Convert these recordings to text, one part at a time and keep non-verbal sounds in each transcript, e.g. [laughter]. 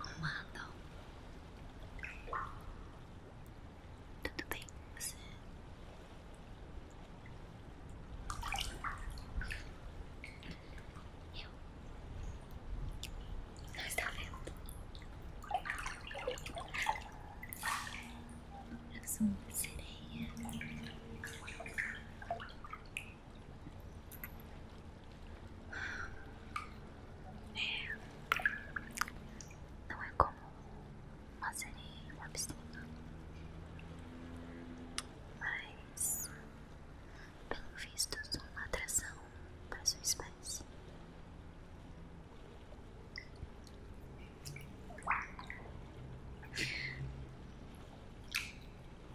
Comandam. Então. Tudo bem com você? Eu não está vendo. Eu sou uma sereia. É. Não é comum fazer sereia em uma piscina, mas bem vistos uma atração para sua espécie.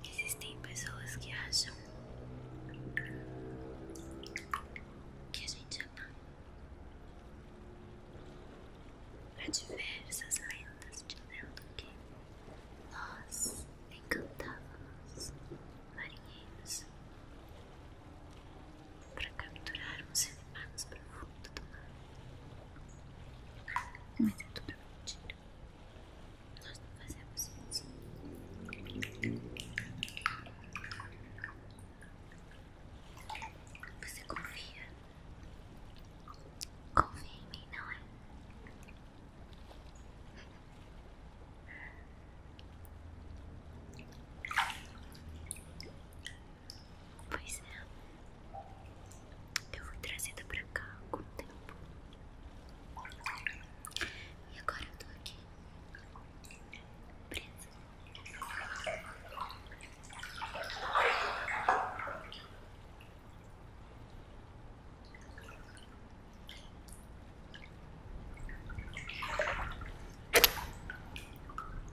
Existem pessoas que acham que a gente é má. Há diversas lendas de dizendo que nós encantávamos marinheiros para capturarmos animais para o fundo do mar. Mas é tudo mentira. Nós não fazemos sozinho. Você confia? Confia em mim, não é? Pois é. Eu fui trazida pra cá com o tempo. E agora eu tô aqui. Presa.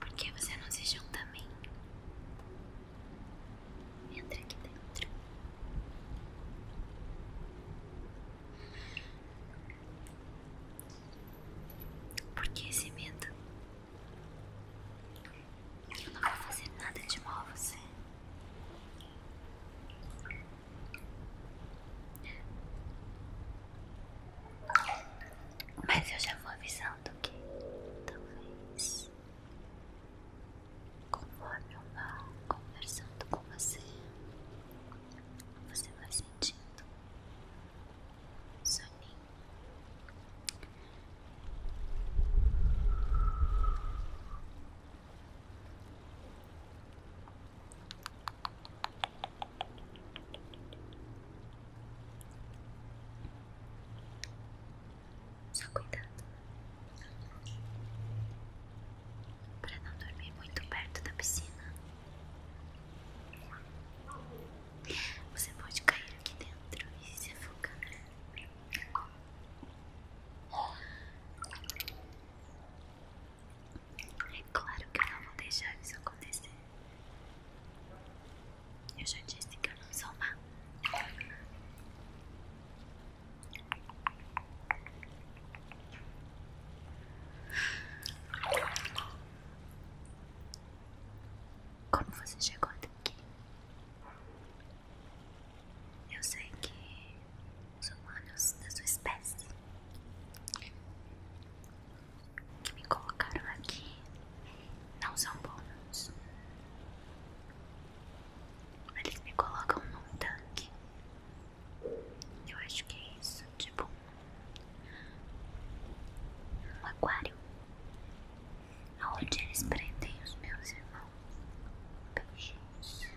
Por que você não se junta a mim? Entra aqui dentro. porque esse medo? Eu não vou fazer nada de mal a você. Mas eu já vou avisando que talvez Conforme eu vá conversando com você, você vai sentindo o soninho. Só cuidado para não dormir muito perto da piscina. Você pode cair aqui dentro e se afogar. É claro que eu não vou deixar isso acontecer. Eu já disse que eu não sou má. Como você chegou até aqui? Eu sei que os humanos da sua espécie que me colocaram aqui não são bônus. Eles me colocam num tanque. Eu acho que é isso, tipo um aquário, aonde eles prendem os meus irmãos. Peixes.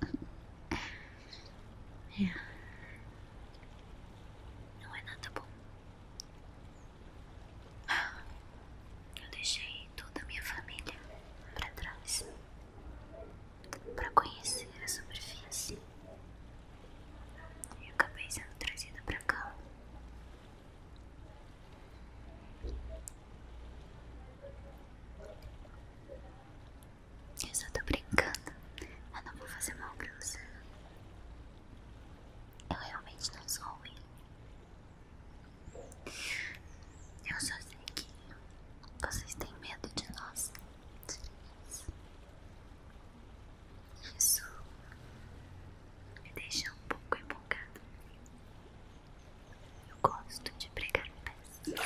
[laughs] É. Não é nada bom. Eu deixei toda a minha família para trás para conhecer a superfície e acabei sendo trazida para cá. Eu só tô brincando, eu não vou fazer mal pra você. Eu realmente não sou ruim. Eu só sei que vocês têm medo de nós. Isso me deixa um pouco empolgado. Eu gosto de pregar peças.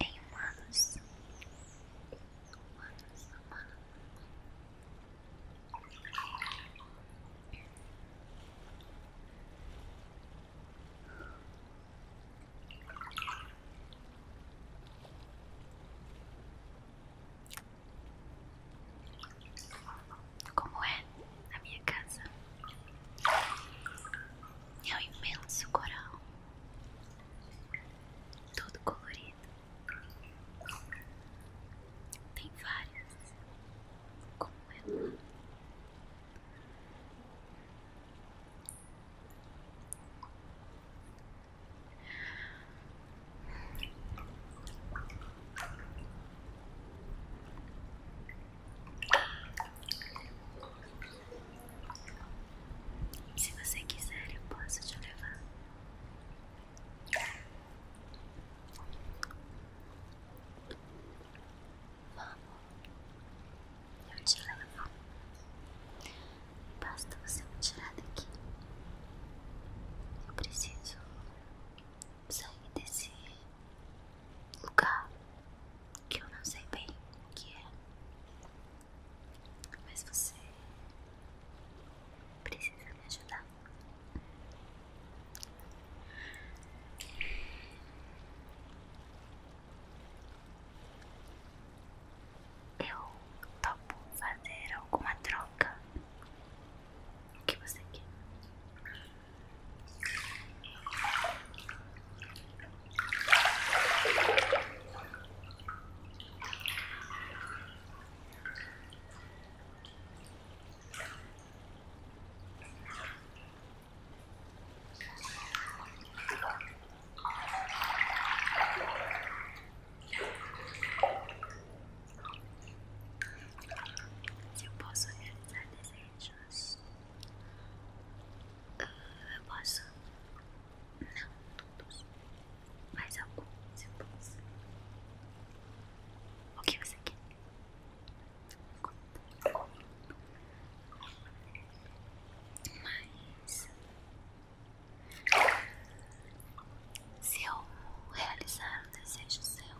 Em humanos, humanos, humanos. Como é na minha casa? É um imenso coral, todo colorido. Tem várias, como ela. É? Se você quiser, eu posso te levar. Vamos, eu te levo. Basta você me tirar daqui. Eu preciso sair desse lugar que eu não sei bem o que é. Mas você precisa me ajudar. Eu topo fazer alguma troca. O que você quer? Eu posso realizar desejos. Ah, eu posso. Não, mais alguns impulsos. O que você quer? Conta. Mas se eu realizar o desejo seu,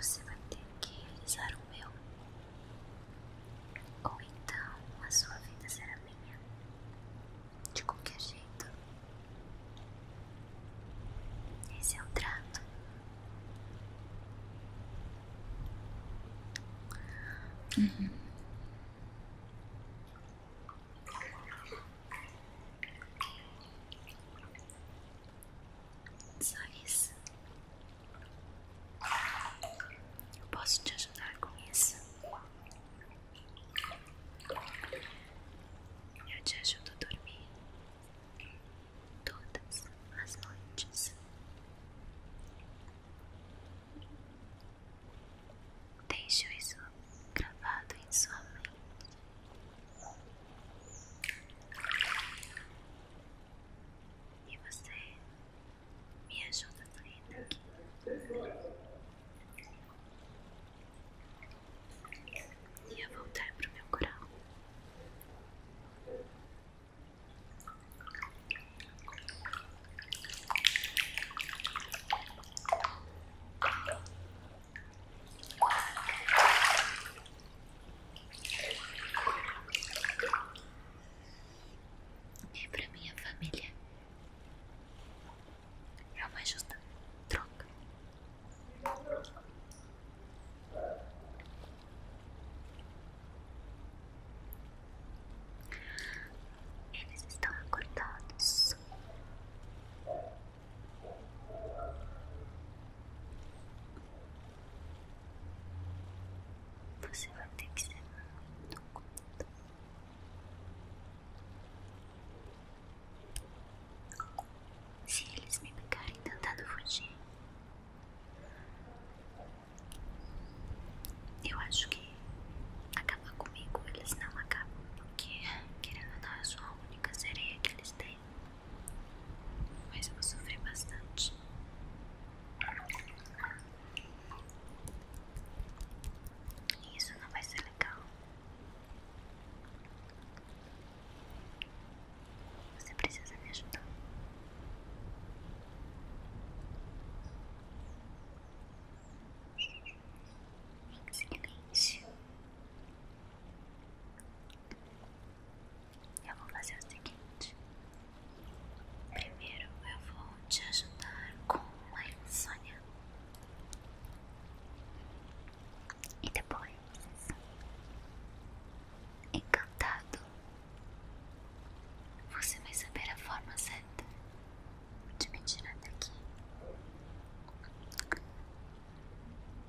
você vai ter que realizar o meu, ou então a sua vida será minha de qualquer jeito. Esse é o trato. Uhum. Só isso. Eu posso te ajudar com isso. Eu te ajudo a dormir todas as noites. Deixo isso gravado em sua mente. E você me ajuda a aqui. E a voltar pro meu coração E é para minha família é uma justa troca. Eles estão acordados. Você vai ter que ser muito cuidado. Se eles me pegarem tentando fugir, eu acho que acabar comigo eles não acabam, porque querendo ou não, eu sou a única sereia que eles têm. Mas eu vou sofrer bastante. Isso não vai ser legal. Você precisa me ajudar. Excelente. Eu vou fazer o seguinte. Primeiro eu vou te ajudar com a insônia. E depois, encantado, você vai saber a forma certa de me tirar daqui.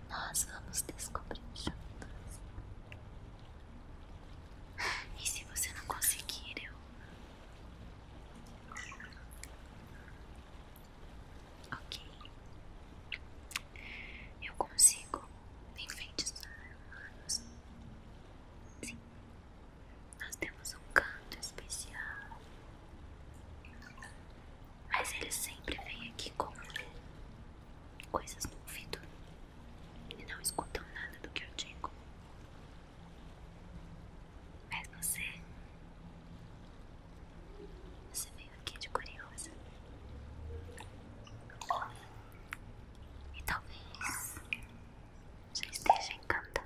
Nós vamos descobrir juntos. [laughs] E se você não conseguir, eu Ok, eu consigo enfeitiçar humanos. Sim, nós temos um canto especial, mas eles sempre vêm aqui com coisas no ouvido e não escutam nada do que eu digo. Mas você. Você veio aqui de curiosa. E talvez já esteja encantado.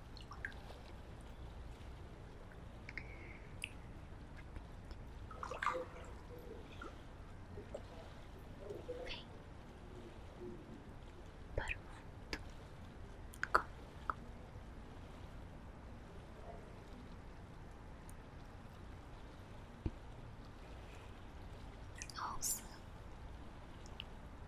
Vem para o mundo comigo. Ouça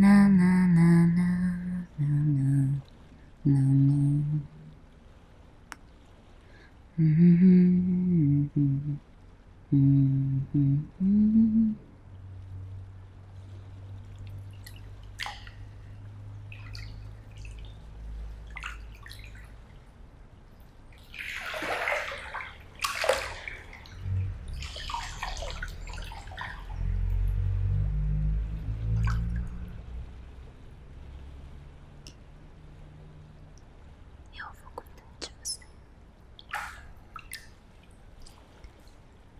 Na na na na na na na na. Mm -hmm. Mm -hmm. Eu vou cuidar de você.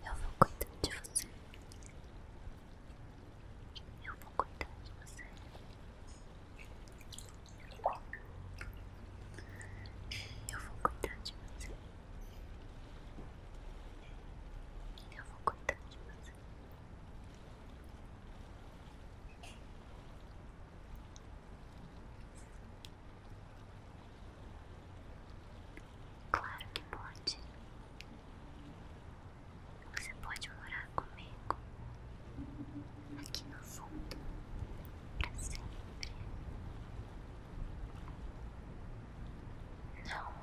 Eu vou cuidar de você. Eu vou cuidar de você. Eu vou cuidar de você. Eu vou cuidar de você. Claro que pode. Você pode morar comigo aqui no fundo pra sempre. Não,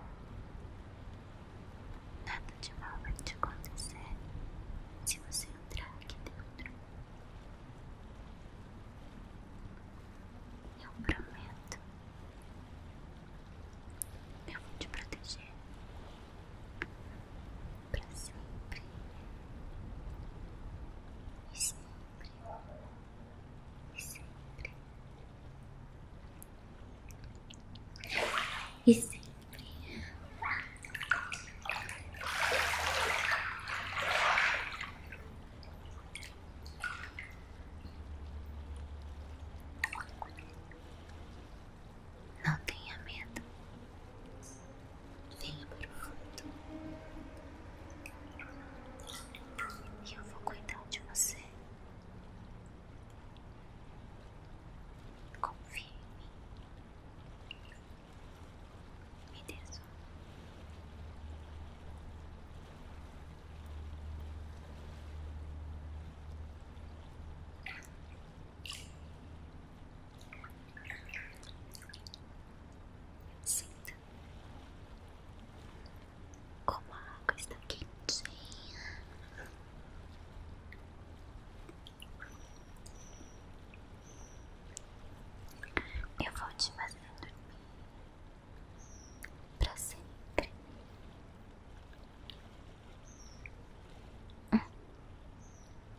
nada de mal vai te acontecer se você entrar aqui dentro. Eu prometo, eu vou te proteger pra sempre sempre sempre sempre. Não tenha medo. Venha para o fundo. E eu vou cuidar de você. Confie em mim. Me deso. Sinta como a água está quentinha. Eu vou te fazer dormir pra sempre. Hum.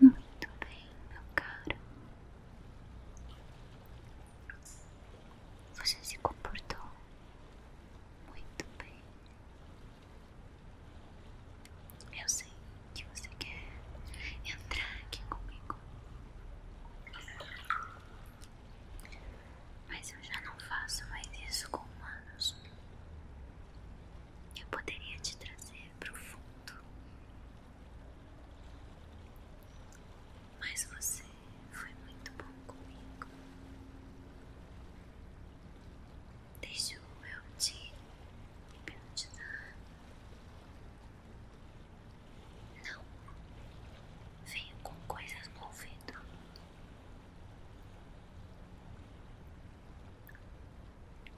Muito bem, meu caro. Você se comportou muito bem. Eu sei que você quer entrar aqui comigo mas eu já não faço mais isso com humanos. Eu poderia te trazer pro fundo. Mas você foi muito bom comigo. Deixou eu te hipnotizar. Não. Veio com coisas no ouvido.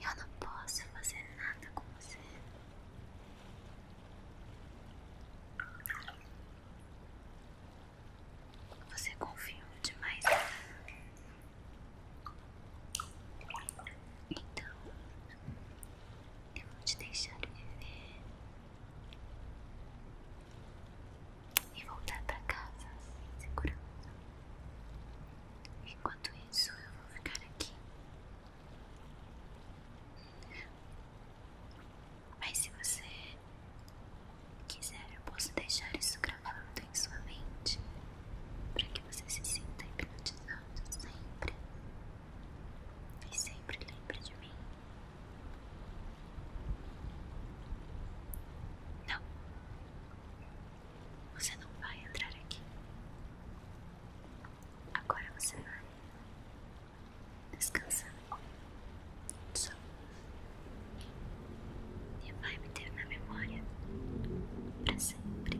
Eu não posso fazer nada com você. Você confiou demais. Então, eu vou te deixar viver e voltar pra casa em segurança. Enquanto isso, eu vou ficar aqui. Mas se você quiser, eu posso deixar isso gravado em sua mente para que você se sinta hipnotizado sempre e sempre lembra de mim. Não, você não vai entrar aqui. Agora você vai descansar só e vai me ter na memória para sempre.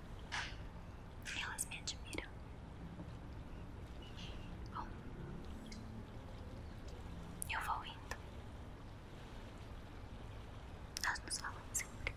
Elas me admiram. Bom, eu vou indo. Nós nos falamos sempre.